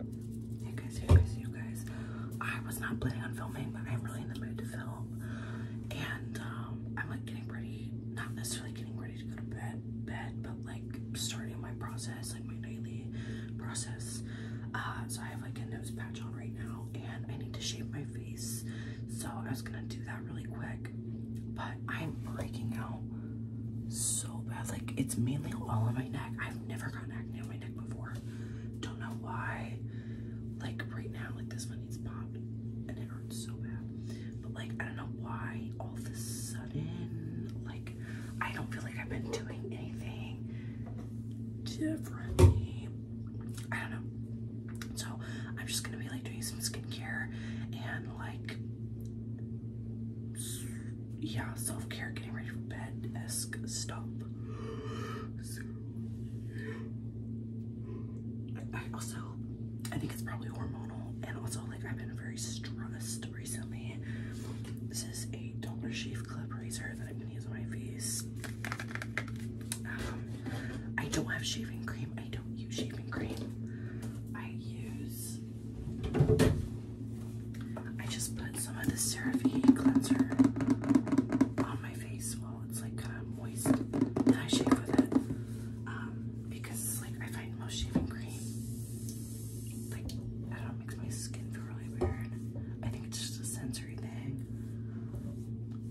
Hey guys, hey guys, you guys. I was not planning on filming, but I'm really in the mood to film. And um, I'm like getting ready, not necessarily getting ready to go to bed, bed, but like starting my process, like my daily process. Uh, so I have like a nose patch on right now and I need to shave my face. So I was gonna do that really quick, but I'm breaking out so bad. Like it's mainly all on my neck. I've never gotten acne my neck before. Don't know why. Like right now, like this one needs popped and it hurts so bad. But like I don't know why all of a sudden, like I don't feel like I've been doing anything differently. I don't know. So I'm just gonna be like doing some skincare and like yeah, self care, getting ready for bed esque stuff. I also, I think it's probably hormonal, and also like I've been very stressed recently. This is a Dollar Shave Club razor that I'm gonna use on my face. Um, I don't have shaving cream. I don't use shaving cream. I use I just put some of the CeraVe cleanser on my face while it's like kind of moist, and I shave with it um, because like I find most shaving cream like I it makes my skin feel really weird. I think it's just a sensory thing.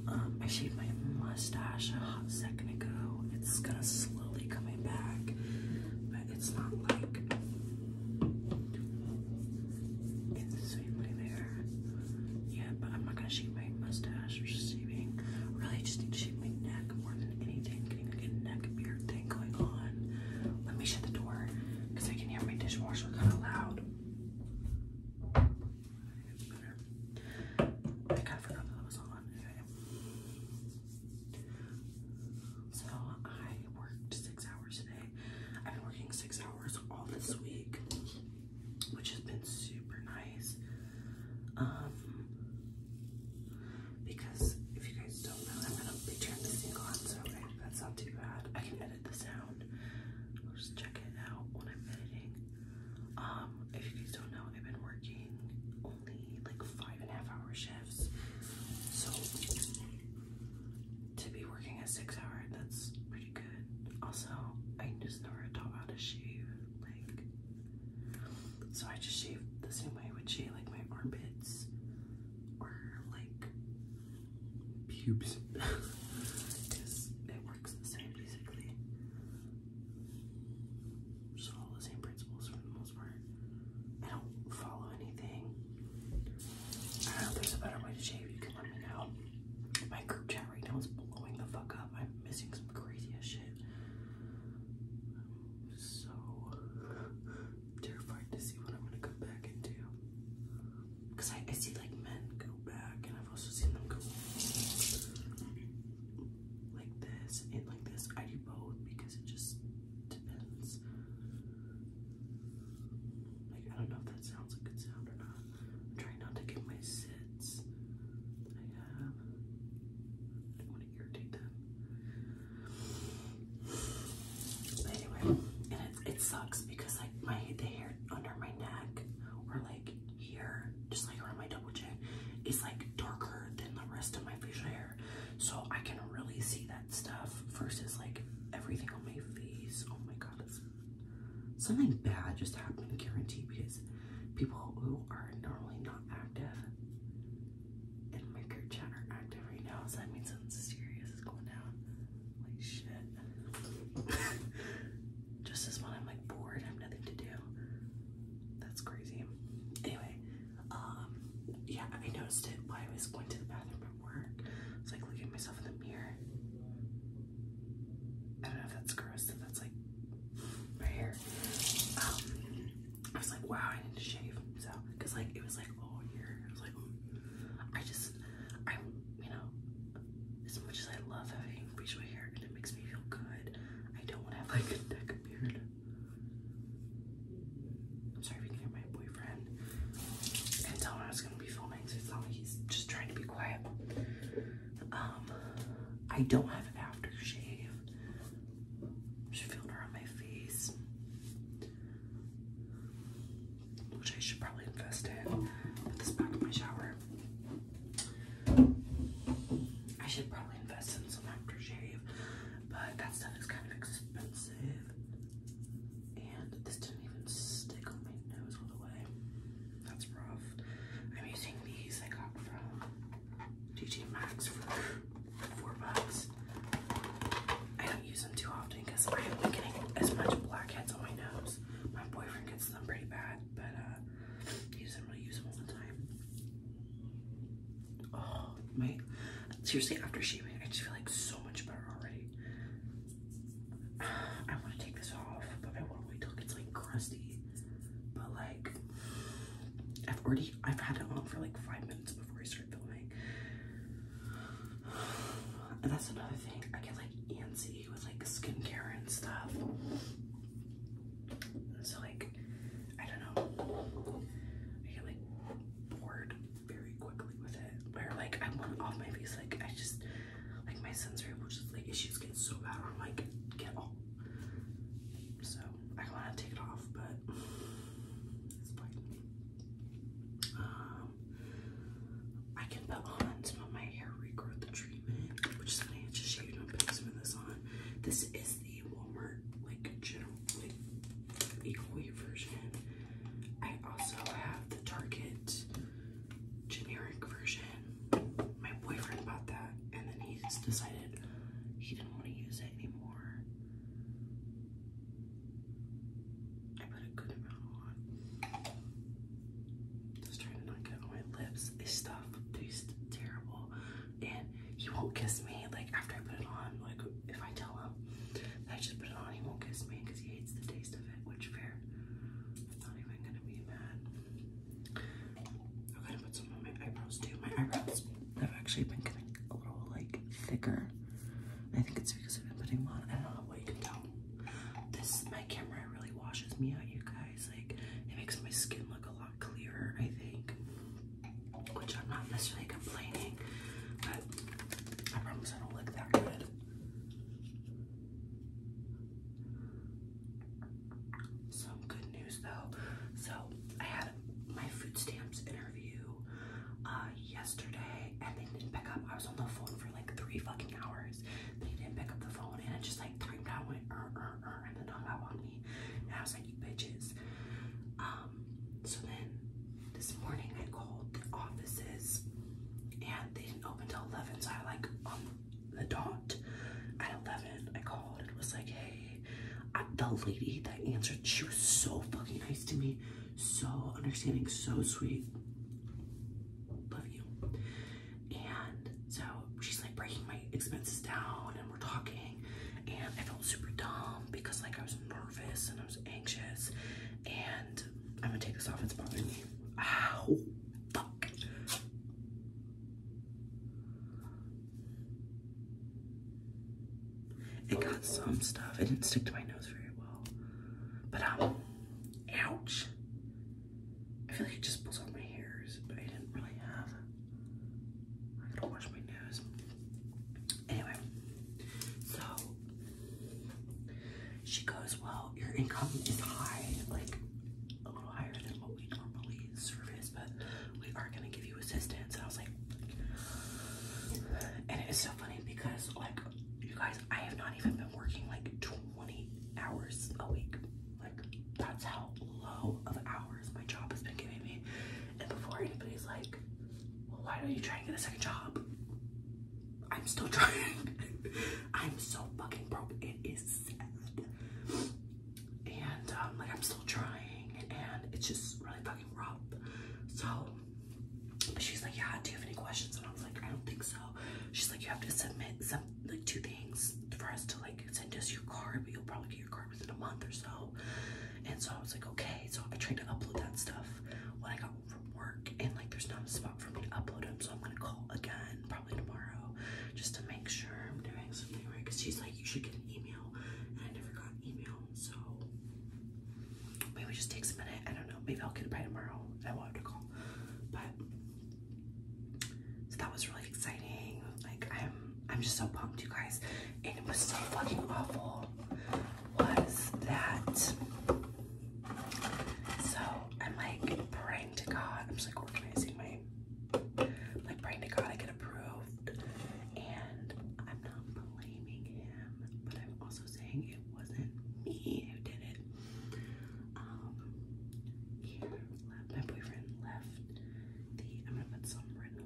Um, I shaved my mustache a hot second ago. It's gonna slowly coming back, it's not like it's insanely there. Yeah, but I'm not gonna shave my mustache Just shaving. Really, just need to shave my neck more than anything. Getting like a neck beard thing going on. Let me shut the door because I can hear my dishwasher kind of loud. I forgot that was on. So I worked six hours today. I've been working six hours all this week, which has been super nice. Um, because if you guys don't know, I'm gonna be turning this thing on, Sorry, that's not too bad. I can edit the sound. I'll just check it out when I'm editing. Um, if you guys don't know, I've been working only like five and a half hour shifts. So to be working a six hour, that's pretty good. Also, I just never taught how to shave, like, so I just shave the same way I would shave, like, my armpits or, like, pubes. Because it works the same, basically. Just all the same principles for the I don't follow anything. I know there's a better way to shave. You can let me know. My group chat right is blowing the fuck up. I'm missing some crazy ass shit. I'm so terrified to see what I'm gonna come back into. Cause I see like men go back, and I've also seen them go like this and like this. I do both because it just I don't know if that sounds a good sound or not. I'm trying not to get my sits I don't want to irritate them. anyway, and it, it sucks because like my the hair under my neck or like here, just like around my double chin, is like darker than the rest of my facial hair. So I can really see that stuff versus like everything on my face. Oh my god, something bad just happened, guarantee, because people who are normally not active in my group chat are active right now. So that means something serious is going down. Like shit. Just as when I'm like bored, I have nothing to do. That's crazy. Anyway, um, yeah, I noticed it while I was going to the bathroom at work. I was like looking at myself in the mirror. I don't know if that's gross, if that's like my hair. Um, I was like, wow, I need to shave. So, cause like it was like all year. I was like, I just, I, you know, as much as I love having facial hair and it makes me feel good, I don't want to have like a neck beard i sorry if you hear my boyfriend. And tell him I was gonna be filming, so he's just trying to be quiet. Um, I don't have aftershave. I'm just feeling my face, which I should probably invest in. Put this back in my shower. I should probably invest in some aftershave, but that stuff is kind of expensive. And this didn't even stick on my nose all the way. That's rough. I'm using these I got from TJ Maxx for four bucks. I don't use them too often because I am not getting as much blackheads on my nose. My boyfriend gets them pretty bad, but uh, he doesn't really use them all the time oh my seriously after shaving I just feel like so much better already. I want to take this off, but I want to wait till it gets like crusty. But like I've already I've had it on for like five minutes before I started filming. And that's another thing. I get like antsy with like skincare and stuff. So like I don't know, I get like bored very quickly with it. Where like I want off my face, like I just, like my sensory issues get so bad. I'm like, get off. So I want to take it off, but Um, I can put on some of my hair regrowth treatment, which is funny. I just shaved and i some of this on. This is the Walmart like general like Equal equally version. I also have the Target generic version. My boyfriend bought that and then he just decided he didn't want to use it anymore. I put a good amount on. Just trying to not get on my lips. This stuff tastes terrible and he won't kiss me. Like after I put it on, like if I tell him I just put it on, he won't kiss me because he hates the taste of it. Which fair. I'm not even gonna be mad. I'm gonna put some on my eyebrows too. My eyebrows have actually been getting a little like thicker. I think it's because I've been putting them on. I don't know what you can tell. This my camera really washes me out, you guys. Like it makes my skin look a lot clearer, I think. Which I'm not necessarily complaining, but I promise I don't look that good. Some good news though. So I had my food stamps interview uh, yesterday, and they didn't pick up. I was on the phone for like three fucking hours. They didn't pick up the phone, and it just like timed out, uh, uh, and then hung up I was like, you bitches. Um, so then this morning I called the offices and they didn't open till 11. So I like on um, the dot at 11, I called and was like, hey, the lady that answered, she was so fucking nice to me. So understanding, so sweet. Love you. And so she's like breaking my expenses down and we're talking and I felt super dumb because like I was nervous and I was anxious. And I'm gonna take this off, it's bothering me. Ow, fuck. It got some stuff. It didn't stick to my nose very well. But um, ouch. I feel like it just pulls out my hairs, but I didn't really have I gotta wash my nose. Anyway, so she goes, Well, your income is high, like a little higher than what we normally service, but we are gonna give you assistance. And I was like, and it is so funny because, like, you guys, I have not even been working like 20 hours a week. Like, that's how low of hours my job has been giving me. And before anybody's like, well, why don't you try and get a second job? I'm still trying. I'm so fucking broke. It is sad. And um, like I'm still trying and it's just really fucking rough. So but she's like, yeah, do you have any questions? And I was like, I don't think so. She's like, you have to submit some like two things for us to like send us your card, but you'll probably get your card or a month or so? And so I was like, okay. So I tried to upload that stuff when I got from work, and like there's not a spot for me to upload them. So I'm gonna call again probably tomorrow just to make sure I'm doing something right. Cause she's like, you should get an email, and I never got an email. So maybe it just takes a minute. I don't know. Maybe I'll get it by tomorrow. I won't have to call, but so that was really exciting. Like I'm I'm just so pumped, you guys. And it was so fucking awful. Was that? So I'm like praying to God. I'm just like organizing my, like praying to God I get approved. And I'm not blaming him, but I'm also saying it wasn't me who did it. Um, my boyfriend left the. I'm gonna put some written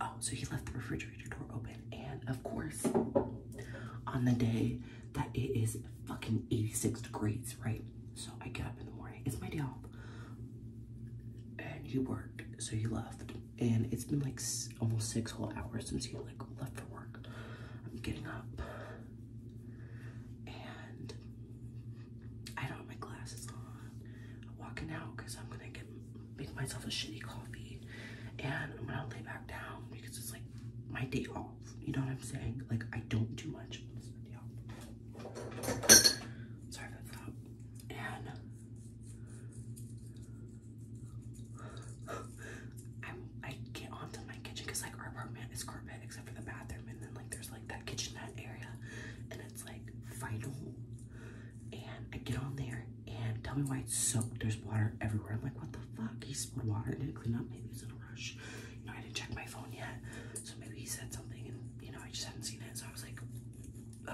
Oh, so he left the refrigerator door open. And of course, on the day that it is fucking 86 degrees, right? So I get up in the morning. It's my day off. And you worked, so you left. And it's been like almost six whole hours since you like left for work. I'm getting up. And I don't have my glasses on. I'm walking out because I'm going to get make myself a shitty coffee and I'm gonna lay back down because it's like my day off. You know what I'm saying? Like I don't do much on this day Sorry about that. And i get onto my kitchen because like our apartment is carpet except for the bathroom and then like there's like that kitchenette area and it's like vinyl and I get on there and tell me why it's soaked. There's water everywhere. I'm like, what the fuck? He spilled water and didn't clean up. Maybe he was in a rush. You know, I didn't check my phone yet. So maybe he said something and, you know, I just have not seen it. So I was like,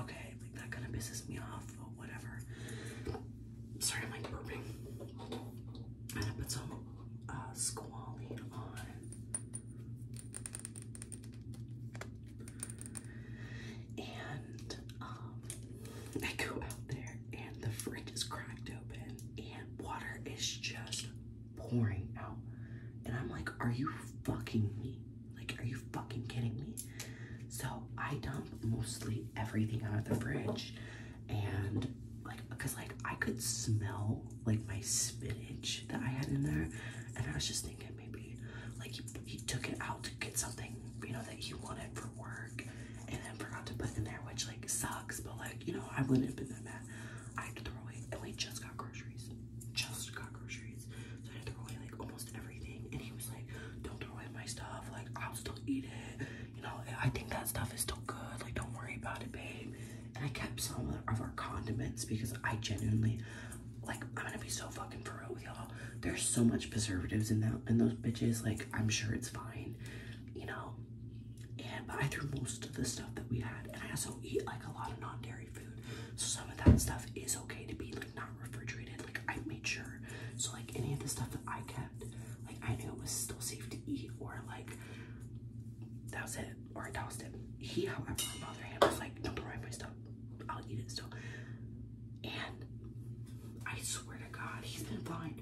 okay, that kind of pisses me off, but whatever. Sorry, I'm like burping. And I put some uh, on. And um, I go out there and the fridge is cracked open and water is just pouring out. And I'm like, are you fucking me? Like, are you fucking kidding me? So I dump mostly everything out of the fridge and like, because like I could smell like my spinach that I had in there. And I was just thinking, maybe like he, he took it out to get something you know that he wanted for work and then forgot to put in there which like sucks but like you know i wouldn't have been that mad i had to throw away and we just got groceries just got groceries so i had away like almost everything and he was like don't throw away my stuff like i'll still eat it you know i think that stuff is still good like don't worry about it babe and i kept some of our condiments because i genuinely like I'm gonna be so fucking for real with y'all. There's so much preservatives in that in those bitches. Like I'm sure it's fine, you know. And but I threw most of the stuff that we had, and I also eat like a lot of non-dairy food, so some of that stuff is okay to be like not refrigerated. Like I made sure, so like any of the stuff that I kept, like I knew it was still safe to eat, or like that was it, or I tossed it. He, however, on the other hand, was like, "Don't provide my stuff. I'll eat it still." And I swear to God, he's been fine.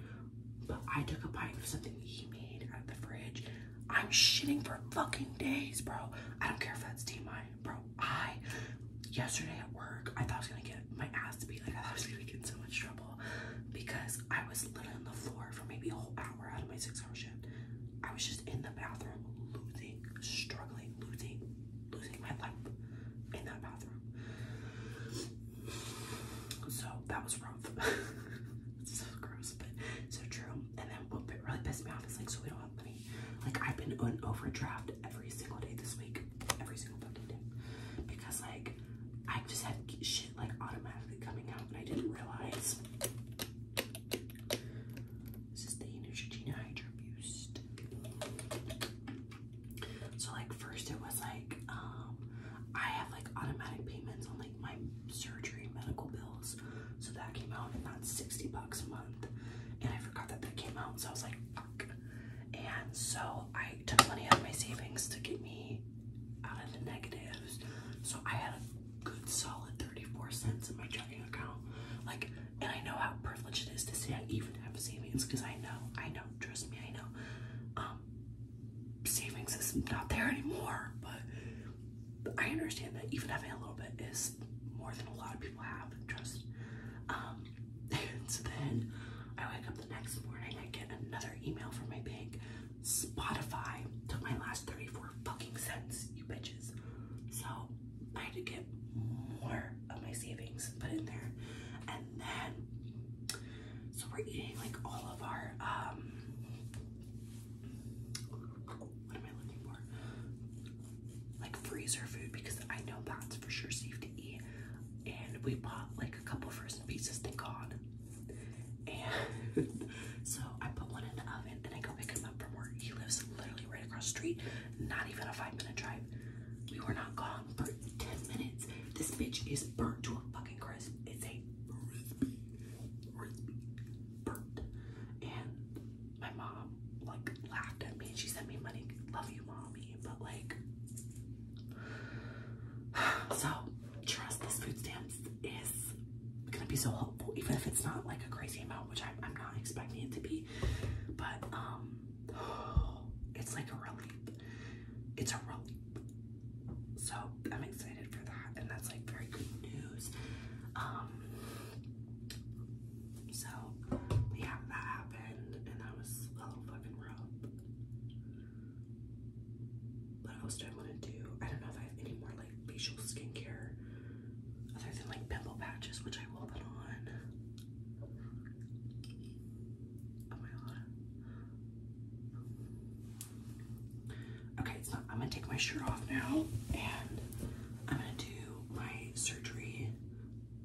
But I took a bite of something he made out of the fridge. I'm shitting for fucking days, bro. I don't care if that's TMI, bro. I, yesterday at work, I thought I was gonna get my ass beat. like, I I was gonna get in so much trouble because I was literally on the floor for maybe a whole hour out of my six hour shift. I was just in the bathroom, losing, struggling, losing losing my life in that bathroom. So that was rough. so so true. And then what really pissed me off is like, so we don't have money. Like I've been on overdraft every single day this week, every single fucking day, because like I just had shit like automatically coming out, and I didn't realize. This is the Neutrogena Hydro Boost. So like first it was like um I have like automatic payments on like my surgery medical bills. So that came out and that's 60 bucks a month. And I forgot that that came out. So I was like fuck. And so I took money out of my savings to get me out of the negatives. So I had a good solid 34 cents in my checking account. Like and I know how privileged it is to say I even have savings because I know, I know, trust me, I know. Um, savings is not there anymore, but I understand that even having a little bit is more than a lot of people have trust. Um, and then I wake up the next morning, I get another email from my bank. Spotify took my last 34 fucking cents, you bitches. So I had to get more of my savings put in there. And then, so we're eating like all of our, um, Like freezer food because I know that's for sure safe to eat. And we bought like a couple frozen pieces thank God. And so I put one in the oven and I go pick him up from where He lives literally right across the street. Not even a five minute drive. We were not gone for 10 minutes. This bitch is burnt to a fucking crisp. It's a crispy, burnt. And my mom, like, laughed at me she sent me money. Love you, mommy. But, like, so trust this food stamps is gonna be so helpful, even if it's not like a crazy amount, which I'm not expecting it to be but um, it's like a relief. It's a relief. So I'm excited for that, and that's like very good news. Um, so yeah, that happened, and I was a little fucking rough. What else do I want to do? I don't know if I have any more like facial skincare other than like pimple patches, which I will put on. Oh okay, so I'm gonna take my shirt off now and I'm gonna do my surgery,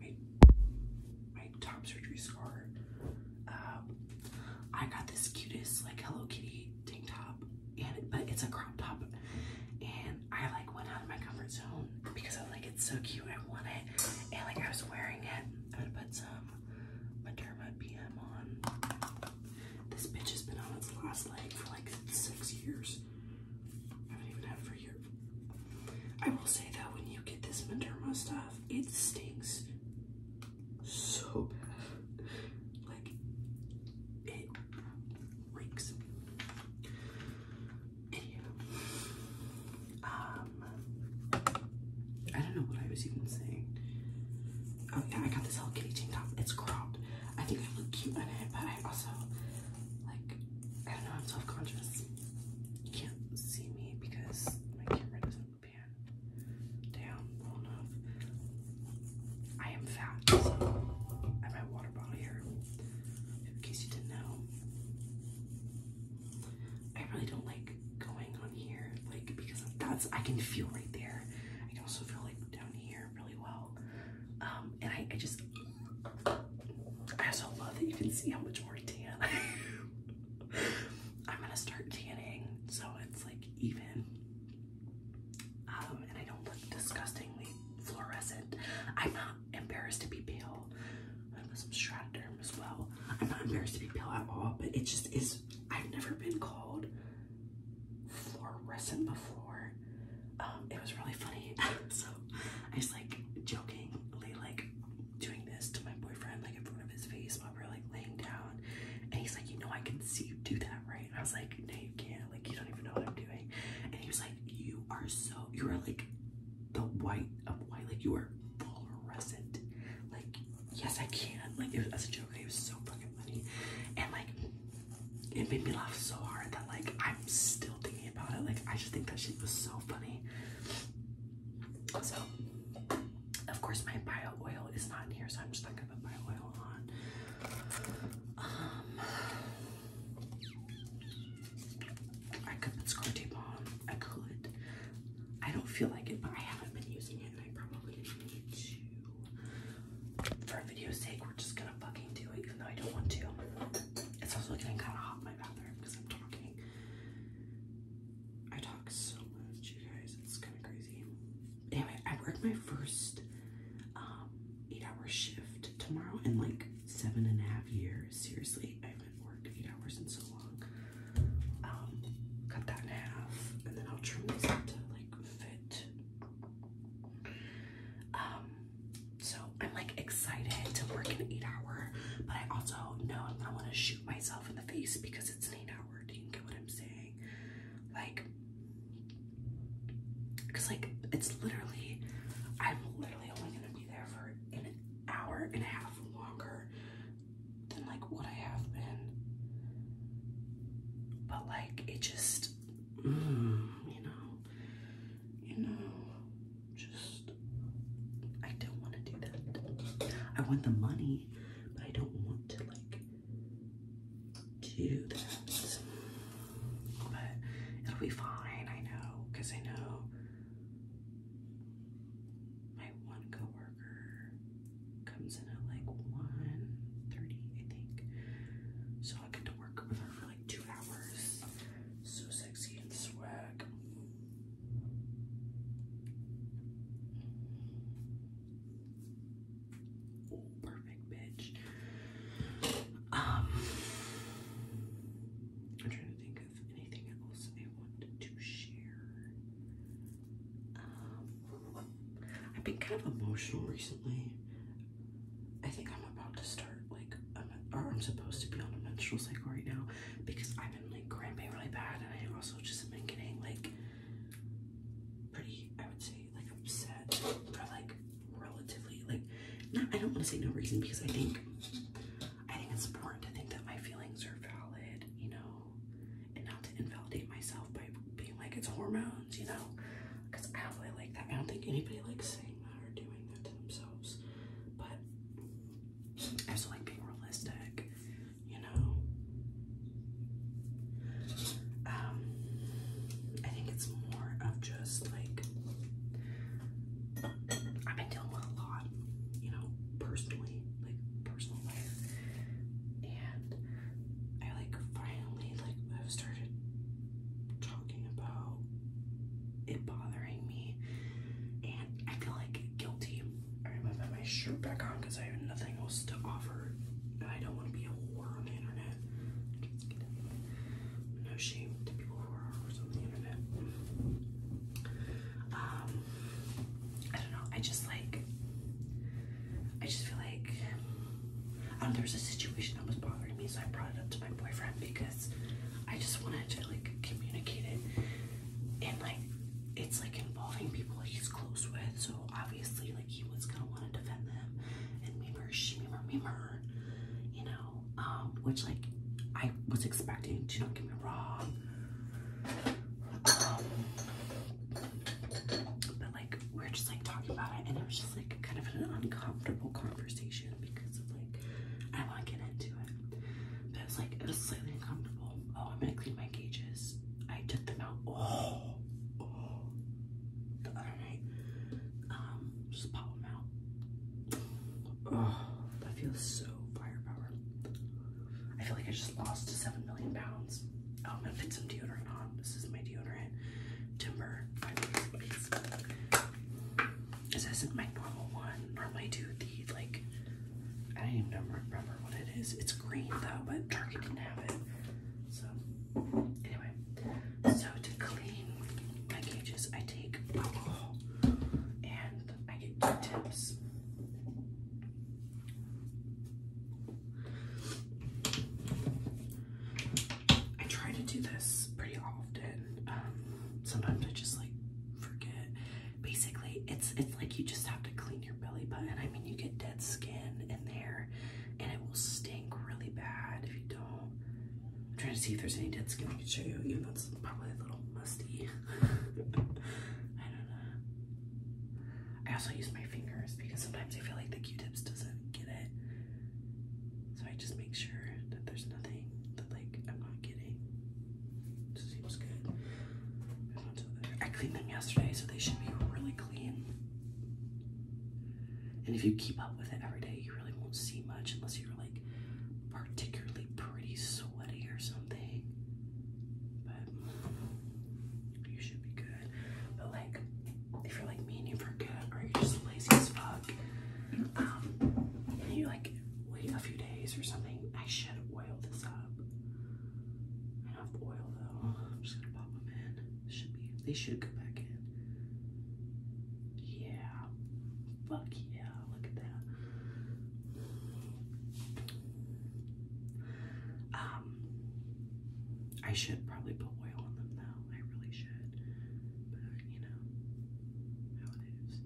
my, top surgery scar. Um, I got this cutest like Hello Kitty tank top, but it's a crop top, and I like went out of my comfort zone because I was like, it's so cute, I want it. And like I was wearing it. I'm gonna put some Mederma PM on. This bitch has been on its last leg for like six years. I haven't even had for a year. I will say that when you get this Mederma stuff, it stinks so bad. Like, it reeks. Um, I don't know what I was even saying. Oh yeah, I got this Hello Kitty tank top. It's cropped. I think I look cute in it, but I also like I don't know. I'm self-conscious. You can't see me because my camera doesn't pan down enough. I am fat. So I'm at water bottle here in case you didn't know. I really don't like going on here, like because that's I can feel right there. I can also feel like down here really well. Um, and I, just I also love that you can see how much more tan I am. gonna start tanning so it's like even. Um, and I don't look disgustingly fluorescent. I'm not embarrassed to be pale. I have some stratoderm as well. I'm not embarrassed to be pale at all, but it just is. I've never been called fluorescent before. Um, it was really funny. so I was like jokingly like doing this to my boyfriend, like in front of his face while we are like laying down, and he's like, you know, I can see you do that, right? I was like, no, you can't. Like, you don't even know what I'm doing. And he was like, You are so, you are like the white of white. Like, you are fluorescent. Like, yes, I can. Like, it was as a joke. It was so fucking funny. And, like, it made me laugh so hard that, like, I'm still thinking about it. Like, I just think that shit was so funny. So, of course, my bio oil is not in here, so I'm just not gonna put bio oil on. Um, I could put scar tape on. I could. I don't feel like it, but I haven't been using it, and I probably need to. For video's sake, we're just gonna fucking do it, even though I don't want to. It's also getting kind of hot in my bathroom because I'm talking. I talk so much, you guys. It's kind of crazy. Anyway, I worked my first um, eight hour shift tomorrow in like seven and a half years. Seriously, I haven't worked eight hours in so long. Um, cut that in half, and then I'll trim these to like fit. Um, so I'm like excited to work an eight hour, but I also know i want to shoot myself in the face because it's an eight hour. Do you get what I'm saying? Like, because, like, it's literally, I'm literally only going to be there for an hour and a half longer than, like, what I have been. But, like, it just, mm, you know, you know, just, I don't want to do that. I want the money, but I don't want to, like, do that but it'll be fine. I know, because I know my one coworker comes in at like 1.30, I think. So I get to work with her for like two hours. So sexy and swag perfect bitch. Um, I'm trying to think of anything else I wanted to share. Um, I've been kind of emotional recently. I think I'm about to start like, or I'm supposed to be on a menstrual cycle right now because I've been like cramping really bad, and I also just have been getting like pretty, I would say, really like upset for like relatively like not I don't want to say no reason because I think I think it's important to think that my feelings are valid, you know, and not to invalidate myself by being like it's hormones, you know, because I don't really like that. I don't think anybody likes saying that or doing that to themselves, but I also like being realistic, you know. Um, I think it's more of just like I've been dealing with a lot, you know, personally, like personal and I like finally like have started talking about it bothering me, and I feel like guilty. I remember my shirt back on because I have nothing else to offer, and I don't want to be a whore on the internet internet. No shame to people who are horrors on the internet. Um, I don't know. I just like. I just feel like um, there was a situation that was bothering me, so I brought it up to my boyfriend because I just wanted to like communicate it, and like it's like involving people he's close with, so obviously like he was gonna want to defend them, and memer, she memer, memer, you know, um, which like I was expecting, do not get me wrong. Um, but like we are just like talking about it and it was just like kind of an uncomfortable conversation because of like I wanna get into it. But it was like it was slightly uncomfortable. Oh, I'm gonna clean my gauges. I took them out. oh, oh um, just pop them out. Oh, that feels so firepower. I feel like I just lost 7 million pounds. I'm gonna put some deodorant on. This is my deodorant. Timber. This isn't my normal one. Normally I do the, like, I don't even remember what it is. It's green though, but Target didn't have it. So anyway, so to clean my cages, I take alcohol and I get two tips. I try to do this pretty often. Um, sometimes I just like forget. Basically, it's it's like you just have to clean your belly button. I mean, you get dead skin in there, and it will stink really bad if you don't. I'm trying to see if there's any dead skin I can show you, even though it's probably a little musty. I don't know. I also use my fingers because sometimes I feel like the Q-tips doesn't get it. So I just make sure that there's nothing that like I'm not getting. seems good. I cleaned them yesterday, so they should be really clean. And if you keep up with it every day, you really won't see much unless you're like particularly pretty sweaty or something. But you should be good. But like, if you're like me and you forget, or you're just lazy as fuck, um, and you like wait a few days or something, I should oil this up. I don't have oil though. I'm just gonna pop them in. Should be. They should come back in. Yeah. Fuck yeah. Look at that. Um. I should probably put oil on them now. I really should. But you know how it is.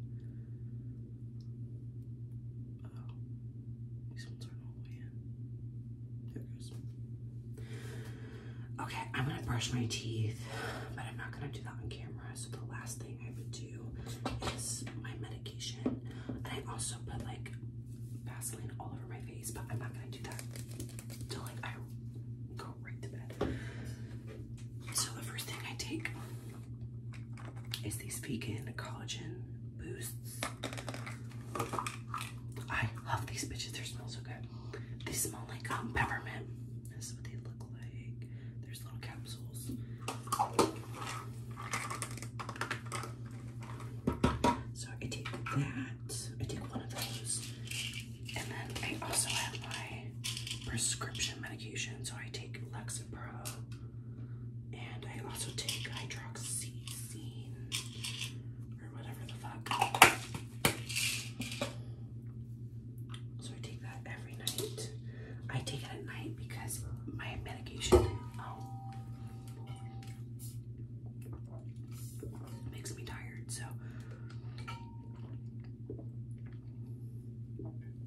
Oh, these ones aren't all the way in. Okay, I'm gonna brush my teeth, but I'm not gonna do that on camera. So the last thing I would do is my medication. I also put like Vaseline all over my face, but I'm not gonna do that till like I go right to bed. So the first thing I take is these vegan collagen boosts. I love these bitches, they smell so good. They smell like um, peppermint. This is what they look like. There's little capsules. So I take that. I take one of those. And then I also have my prescription medication. So I take Lexapro. And I also take hydroxyzine or whatever the fuck. So I take that every night. I take it at night because my medication oh. makes me tired. So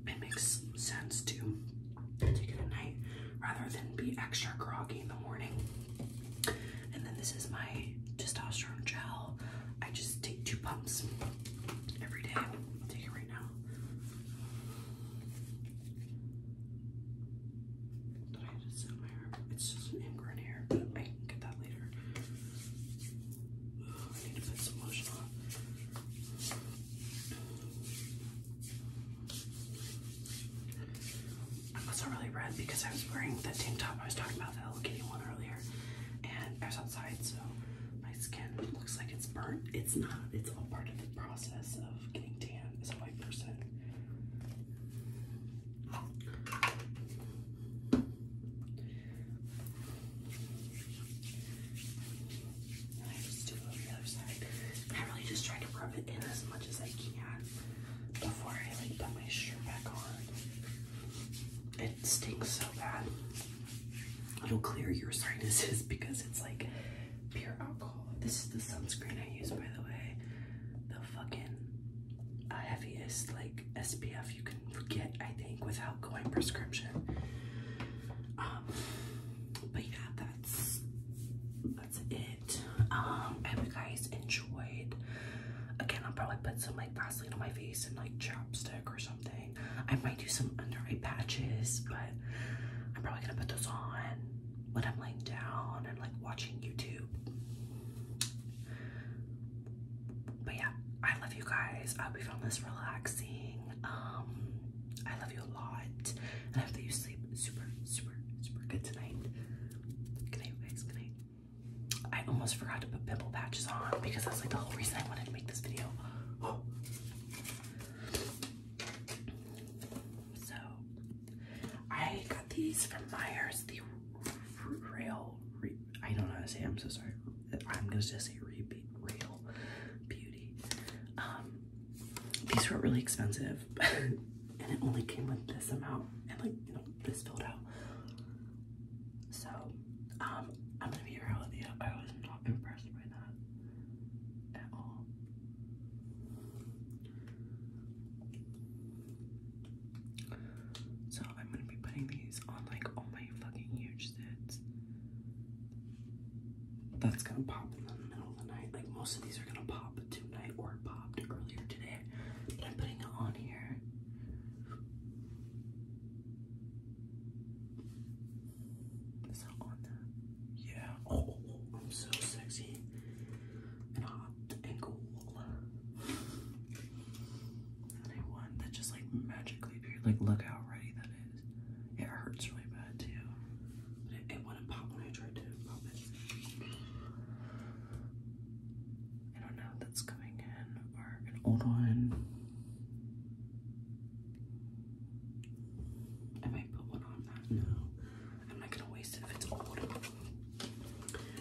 it makes sense to take it at night rather than be extra groggy in the morning. And then this is my testosterone gel. I just take two pumps every day. right now. Did I just set my arm? It's just an ingrown I can get that later. I need to put some lotion on. I wasn't really red because I was wearing that tank top I was talking about, the Hello one earlier, and I was outside, so my skin looks like it's burnt. It's not. It's all part of the process of getting tan as a white person. And I just do it on the other side. I really just try to rub it in as much as I can before I like put my shirt back on. It stinks so bad. It'll clear your sinuses because it's like pure alcohol. This is the sunscreen I use, by the way. The fucking heaviest like SPF you can get, I think, without going prescription. Um, but yeah, that's that's it. Um, I hope you guys enjoyed. Again, I'll probably put some like Vaseline on my face and like chapstick or something. I might do some under eye patches, but I'm probably gonna put those on when I'm laying down and like watching YouTube. But yeah, I love you guys. I hope you found this relaxing. Um, I love you a lot, and I hope that you sleep super, super, super good tonight. Good night, guys. Good night. I almost forgot to put pimple patches on because that's like the whole reason I wanted to make this video. So I got these from Myers, the real. I don't know how to say. I'm so sorry. I'm gonna just say Real Beauty. Um, these were really expensive. and it only came with this amount and like you know this filled out so um i'm gonna be real with i was not impressed by that at all so i'm gonna be putting these on like all my fucking huge sets that's gonna pop in the middle of the night like most of these are gonna pop too or popped earlier today, but I'm putting it on here. Yeah. Oh, I'm so sexy and hot and cool. And I that just like magically appeared. Like, look how ready that is. it hurts really bad too. But it wouldn't pop when I tried to pop it. I don't know that's coming in or an old one. I might put one on that now. I'm not gonna waste it if it's old.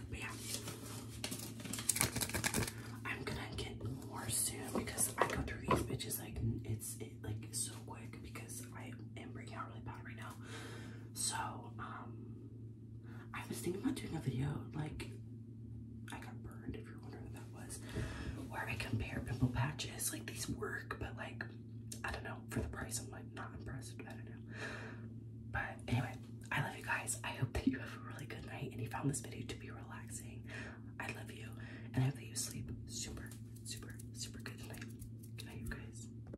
But yeah. I'm gonna get more soon because I go through these bitches like it's like so quick because I am breaking out really bad right now. So um I was thinking about doing a video like I got burned if you're wondering that was where I compare pimple patches like these work but like I don't know for the price I'm like not impressed I don't know but anyway I love you guys I hope that you have a really good night and you found this video to be relaxing I love you and I hope that you sleep super super super good tonight good night you guys